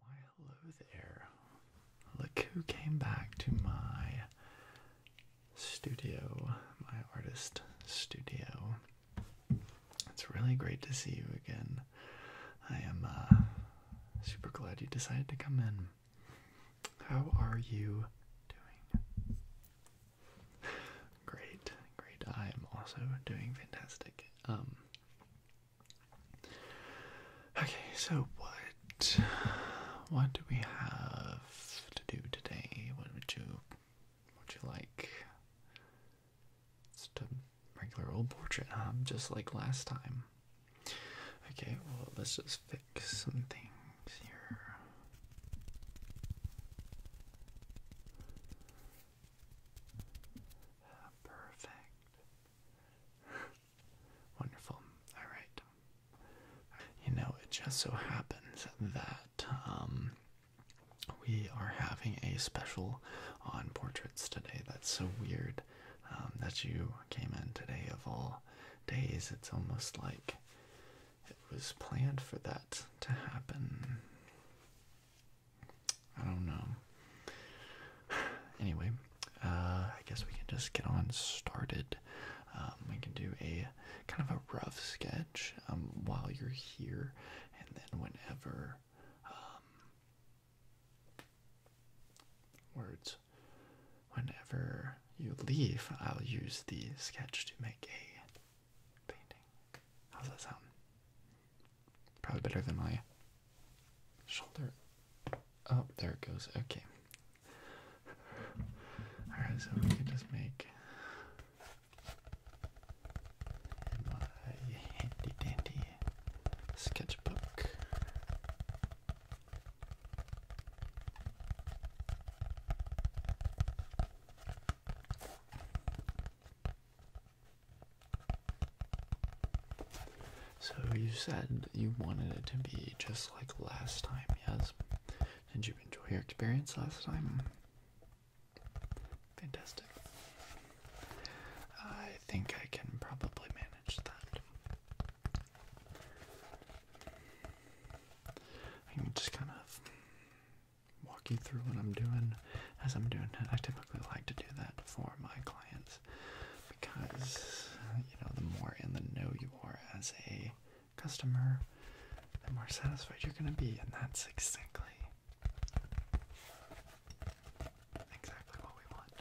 hello there. Look who came back to my studio, my artist studio. It's really great to see you again. I am uh, super glad you decided to come in. How are you doing? Great, great. I am also doing fantastic. Um, Okay, so what what do we have to do today? What would you would you like? Just a regular old portrait, Just like last time. Okay, well let's just fix some things here perfect. Wonderful. All right. You know, it just so happens that um, we are having a special on portraits today. That's so weird um, that you came in today of all days. It's almost like it was planned for that to happen. I don't know. Anyway, uh, I guess we can just get on started. Um, we can do a kind of a rough sketch um, while you're here, and then whenever um, words, whenever you leave, I'll use the sketch to make a painting. How's that sound? Probably better than my shoulder. Oh, there it goes. Okay. Alright, so we can just make my handy dandy sketchbook. So you said you wanted it to be just like last time, yes? Did you enjoy your experience last time? Fantastic. I think I can probably manage that. I can just kind of walk you through what I'm doing as I'm doing it. I typically like to do that for my clients because you know the more in the know you are as a customer, the more satisfied you're gonna be, and that's exactly exactly what we want.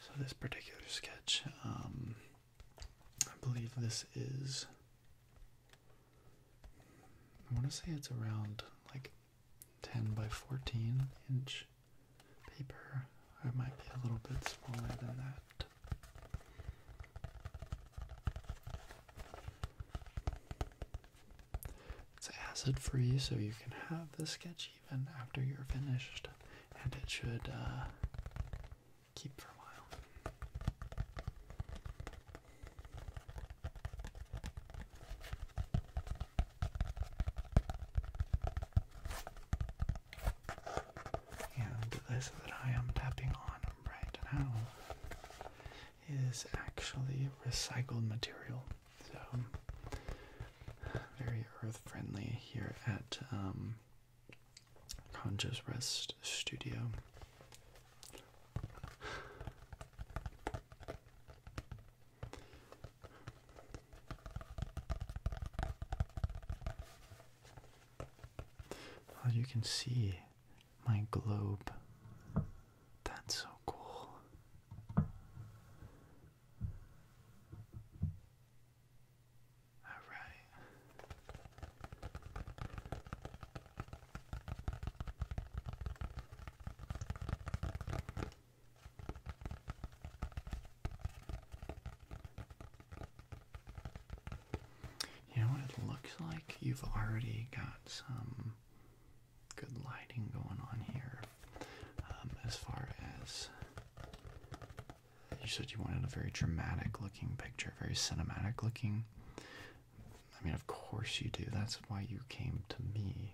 So this particular sketch, um, I believe this is. I want to say it's around like 10 by 14 inch paper. it might be a little bit smaller than that. It's acid free, so you can have the sketchy even after you're finished, and it should uh, keep for a while. And this that I am tapping on right now is actually recycled material. So very earth friendly here at um, Rest Studio. Well, you can see my globe. That's so cool. All right. You know what it looks like? You've already got some good lighting going on here. Um, as far as you said, you wanted a very dramatic looking picture, very cinematic looking. I mean, of course you do. That's why you came to me.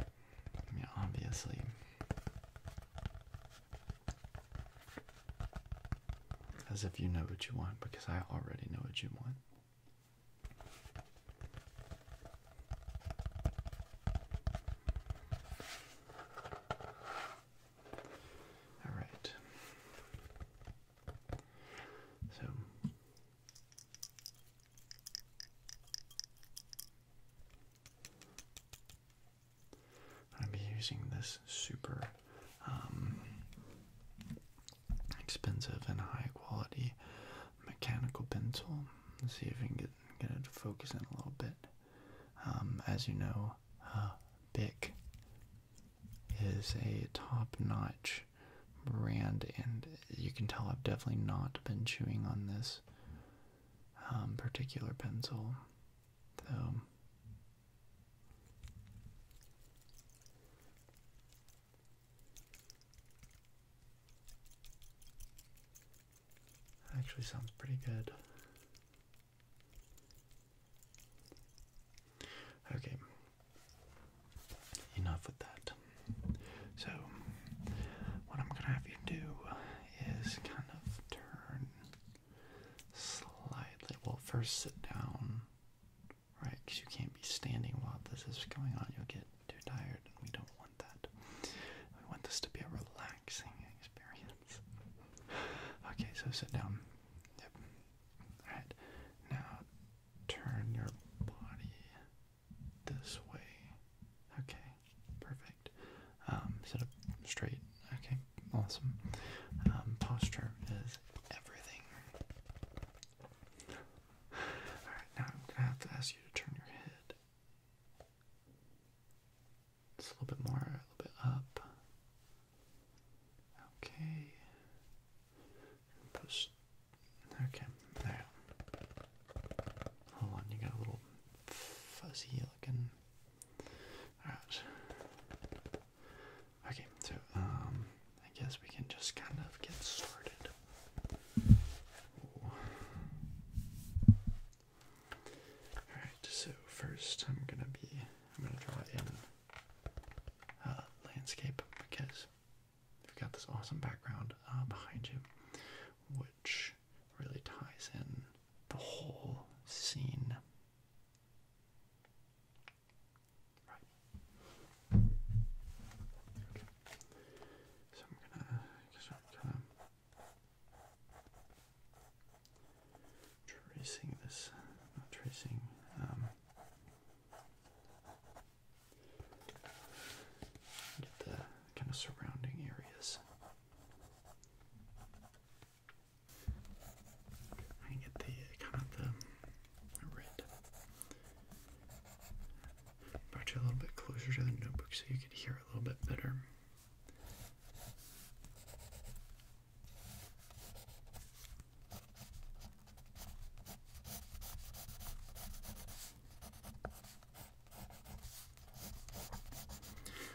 I mean, obviously. As if you know what you want, because I already know what you want. All right. So i be using this super um, expensive and high quality mechanical pencil. Let's see if we can get, get it to focus in a little bit. Um, as you know, uh, Bic is a top-notch brand, and you can tell I've definitely not been chewing on this um, particular pencil. So. That actually sounds pretty good. Okay, enough with that. So, what I'm gonna have you do is kind of turn slightly. Well, first sit down, right? Because you can't be standing while this is going on. You'll get too tired, and we don't want that. We want this to be a relaxing experience. okay, so sit down. Yep. Alright, now turn your body this way. Okay, perfect. Um, sit up straight. Okay, awesome. Um, posture is everything. Alright, now I'm going to have to ask you to turn your head. Just a little bit more, a little bit up. Okay. Push. Okay, there. Hold on, you got a little fuzzy looking. Alright. Okay, so, um, I guess we can just kind of get started. Alright, so first I'm gonna be I'm gonna draw in uh, landscape because we've got this awesome background uh, behind you, which really ties in the whole scene. So I'm gonna, I guess I'm kind of tracing this, not tracing, um, get the kind of surrounding areas. I get the kind of the Brought you a little bit closer to the notebook so you could hear a little bit better.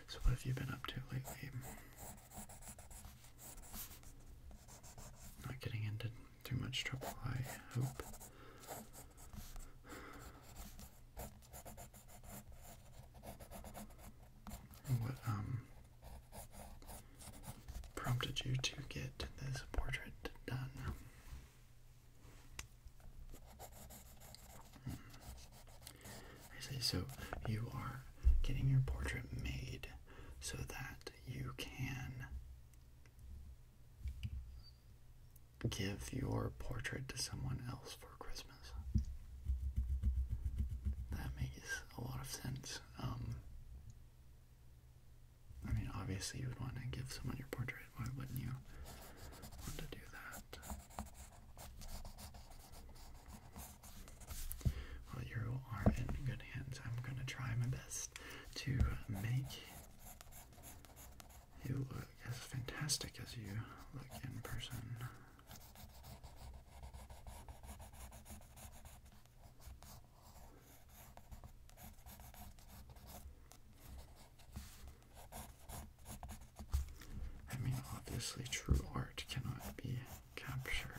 So, what have you been up to lately? Not getting into too much trouble, I hope. What um prompted you to get this portrait done? Hmm. I see. So you are getting your portrait made so that you can give your portrait to someone else for Christmas. That makes a lot of sense. Um, I mean, obviously, you would want to give someone your portrait. Why wouldn't you want to do that? Well, you are in good hands. I'm going to try my best to make you look as fantastic as you look in person. I mean, obviously, true art cannot be captured.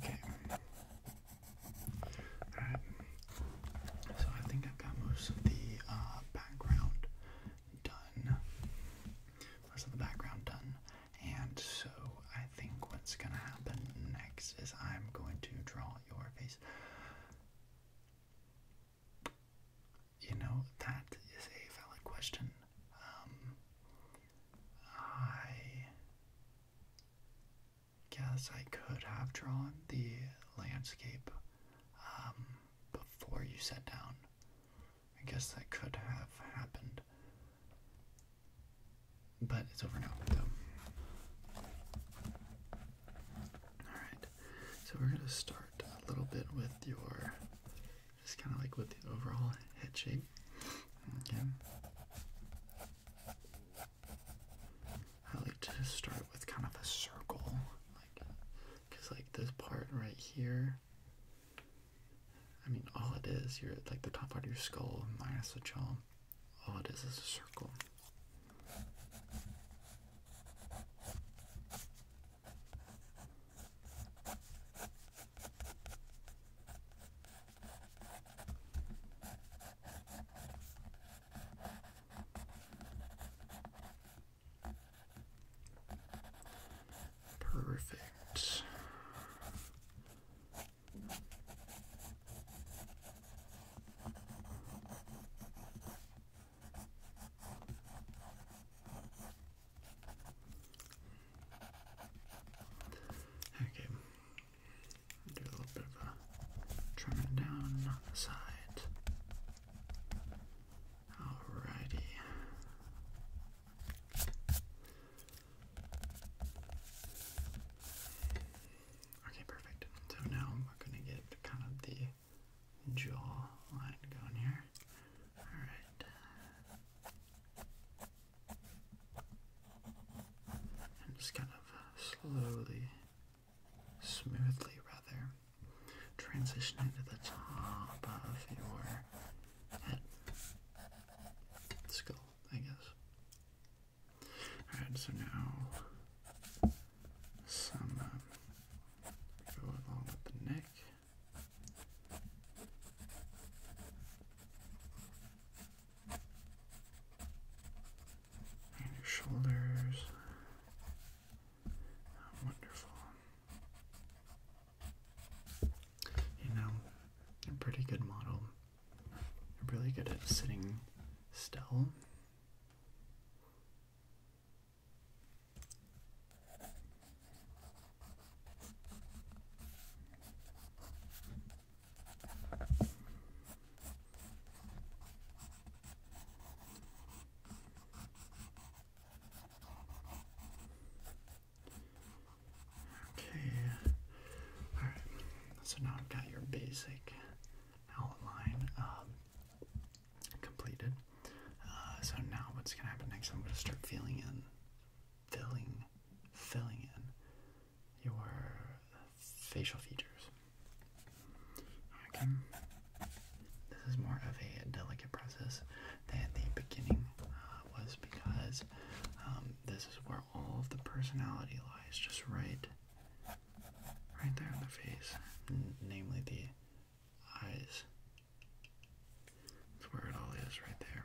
Okay. Alright. So I think I've got most of the uh, background done. Most of the background done. And so I think what's going to happen next is I'm going to draw your face. You know, that is a valid question. Um, I guess I could have drawn the landscape um, before you sat down. I guess that could have happened. But it's over now. So. Alright, so we're going to start a little bit with your, just kind of like with the overall head shape. Again, I like to start with kind of a circle, like, because like this part right here I mean, all it is, you're like the top part of your skull minus the jaw. All it is is a circle. Perfect. Okay, do a little bit of trimming down on the side. Alrighty. Okay, perfect. So now we're gonna get kind of the jaw line going here. Alright. And just kind of slowly, smoothly rather, transitioning to the top of your skull, I guess. Alright, so now some um, go along with the neck. And your shoulders. wonderful you know, a pretty good model. really good at sitting still. Okay. Alright. So now I've got your basic outline um, completed. Uh, so now what's gonna happen next? I'm gonna start filling in, filling, filling in your facial features. Okay. This is more of a delicate process than the beginning uh, was because um, this is where all of the personality lies, just right, right there in the face, namely the eyes. That's where it all is, right there.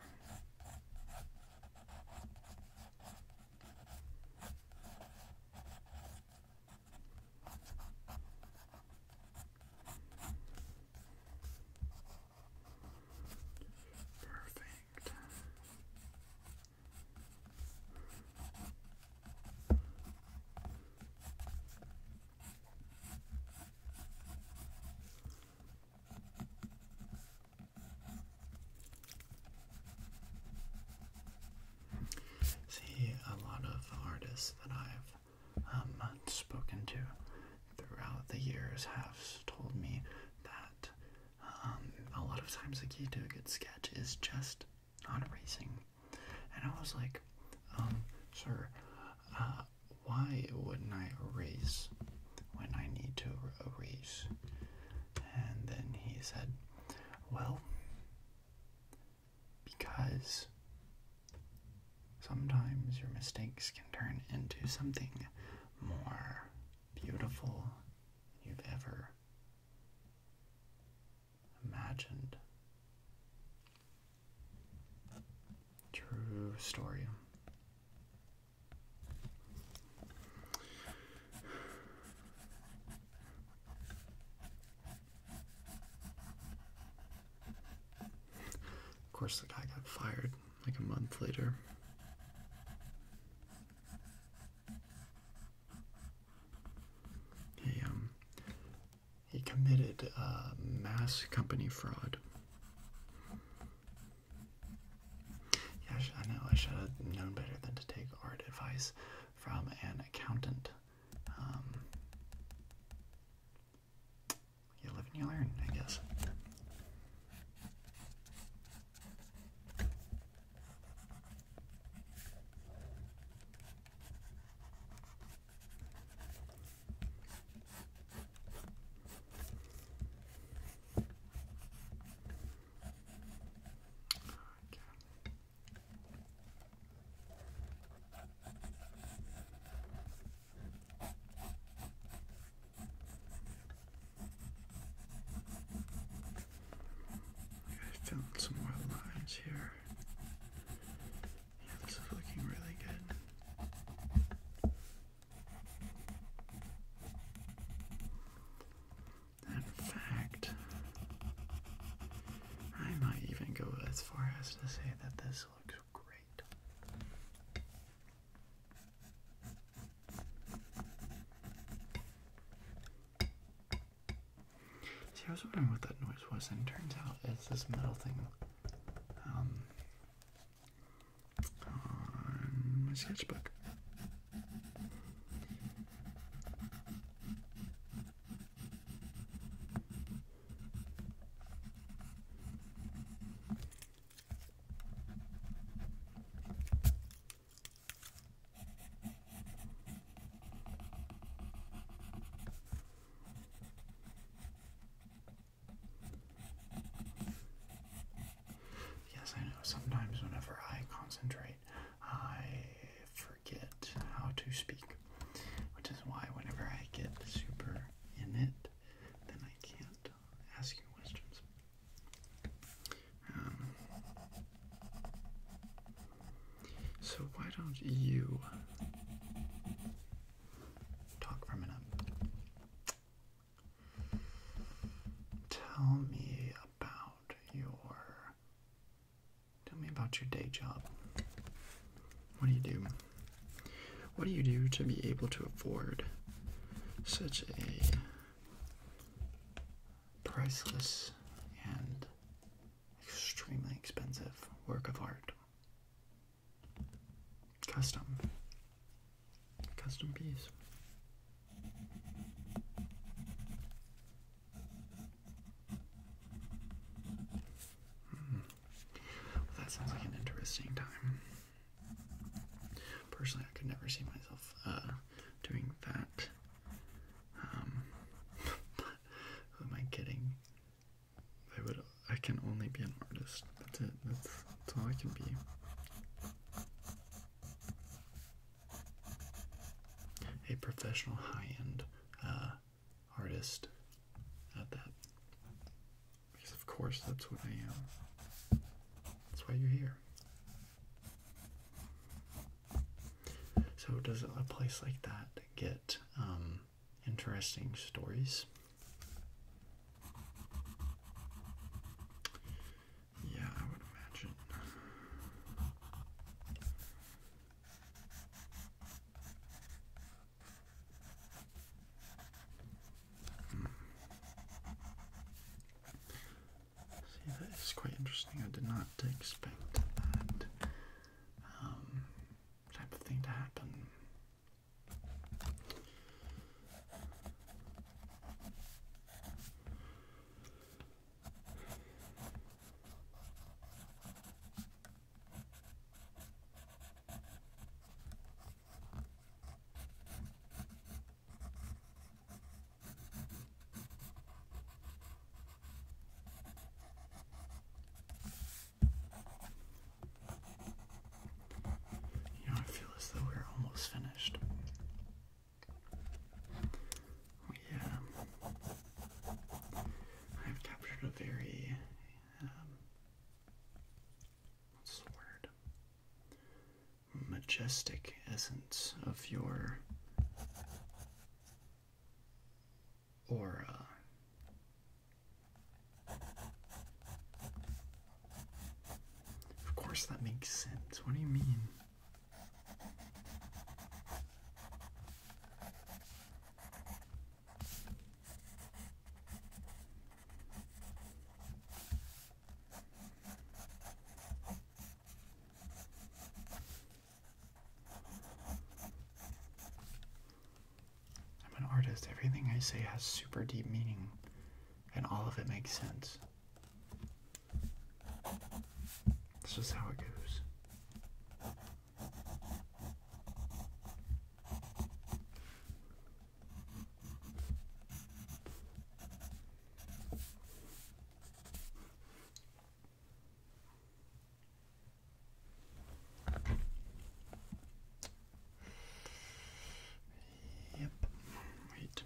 Perfect. See, a lot of artists that I've um, spoken to throughout the years have told me that um, a lot of times the key to a good sketch is just not erasing. And I was like, um, sir, uh, why wouldn't I erase when I need to er-, erase? And then he said, well, because Sometimes your mistakes can turn into something more beautiful than you've ever imagined. True story. Of course, the guy got fired like a month later. He um he committed uh, mass company fraud. Yeah, I know. I should have known better than to take art advice from an accountant. Um, you live and you learn, I guess. I some more lines here. Yeah, this is looking really good. In fact, I might even go as far as to say that this looks See, I was wondering what that noise was, and turns out it's this metal thing um, on my sketchbook. Yes, I know. Sometimes, whenever I concentrate, I forget how to speak, which is why, whenever I get super in it, then I can't uh, ask you questions. Um, so why don't you uh, talk for a minute? Tell me about your. Tell me about your day job. What do you do? What do you do to be able to afford such a priceless and extremely expensive work of art? Custom. Custom piece. Hmm that sounds like an interesting time. Personally, I could never see myself uh, doing that. Um, am I kidding? I would. I can only be an artist. That's it. That's, all I can be. A professional high-end uh, artist at that. Because, of course, that's what I am. That's why you're here. So, does a place like that get um, interesting stories? Yeah, I would imagine. See, that is quite interesting. I did not expect that um, type of thing to happen. You know, I feel as though we're almost finished. We, I've captured a very um, what's the word? Majestic essence of your aura. Of course, that makes sense. What do you mean? I'm an artist. Everything I say has super deep meaning, and all of it makes sense. This is how it goes. Yep, wait.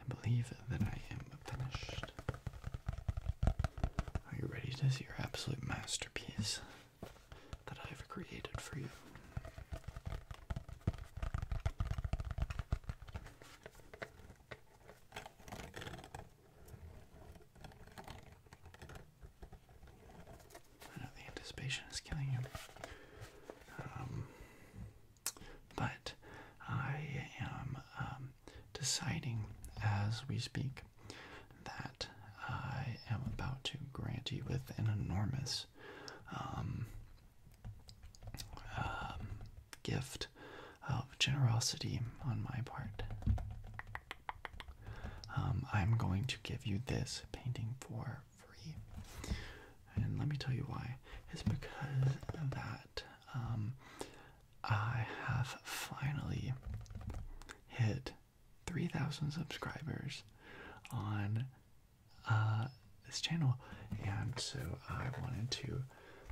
and believe that I am finished. Are you ready to see your absolute masterpiece that I've created for you? I know the anticipation is killing you. Um, but I am um, deciding as we speak that I am about to grant you with an enormous um, um, gift of generosity on my part. I'm going to give you this painting for free and let me tell you why. It's because that um, I have finally hit 3,000 subscribers on uh, this channel, and so I wanted to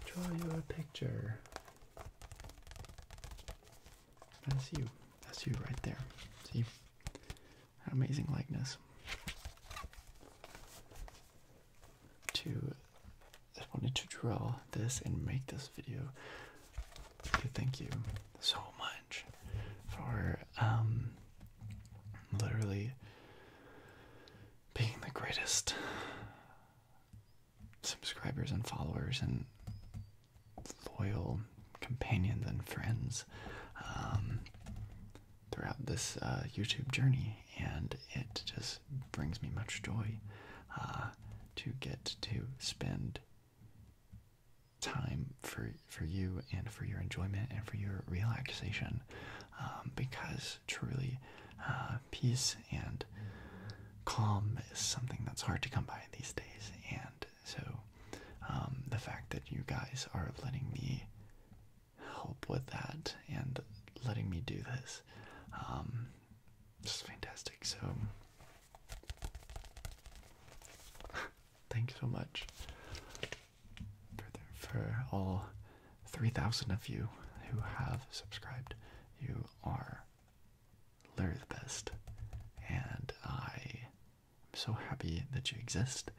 draw you a picture. That's you. That's you right there. See? amazing likeness to I wanted to draw this and make this video. thank you so much for um literally being the greatest subscribers and followers and loyal companions and friends um throughout this uh, YouTube journey, and it just brings me much joy uh, to get to spend time for for you and for your enjoyment and for your relaxation, um, because truly, uh, peace and calm is something that's hard to come by these days, and so um, the fact that you guys are letting me help with that and letting me do this. Um, it's fantastic. So, thanks so much for, for all 3,000 of you who have subscribed. You are literally the best, and I am so happy that you exist.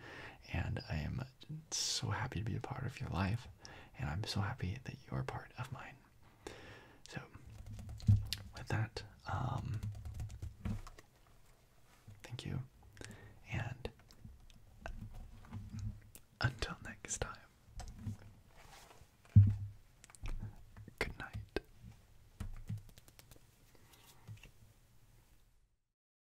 And I am so happy to be a part of your life, and I'm so happy that you're part of mine. So, with that, um, thank you, and until next time, good night.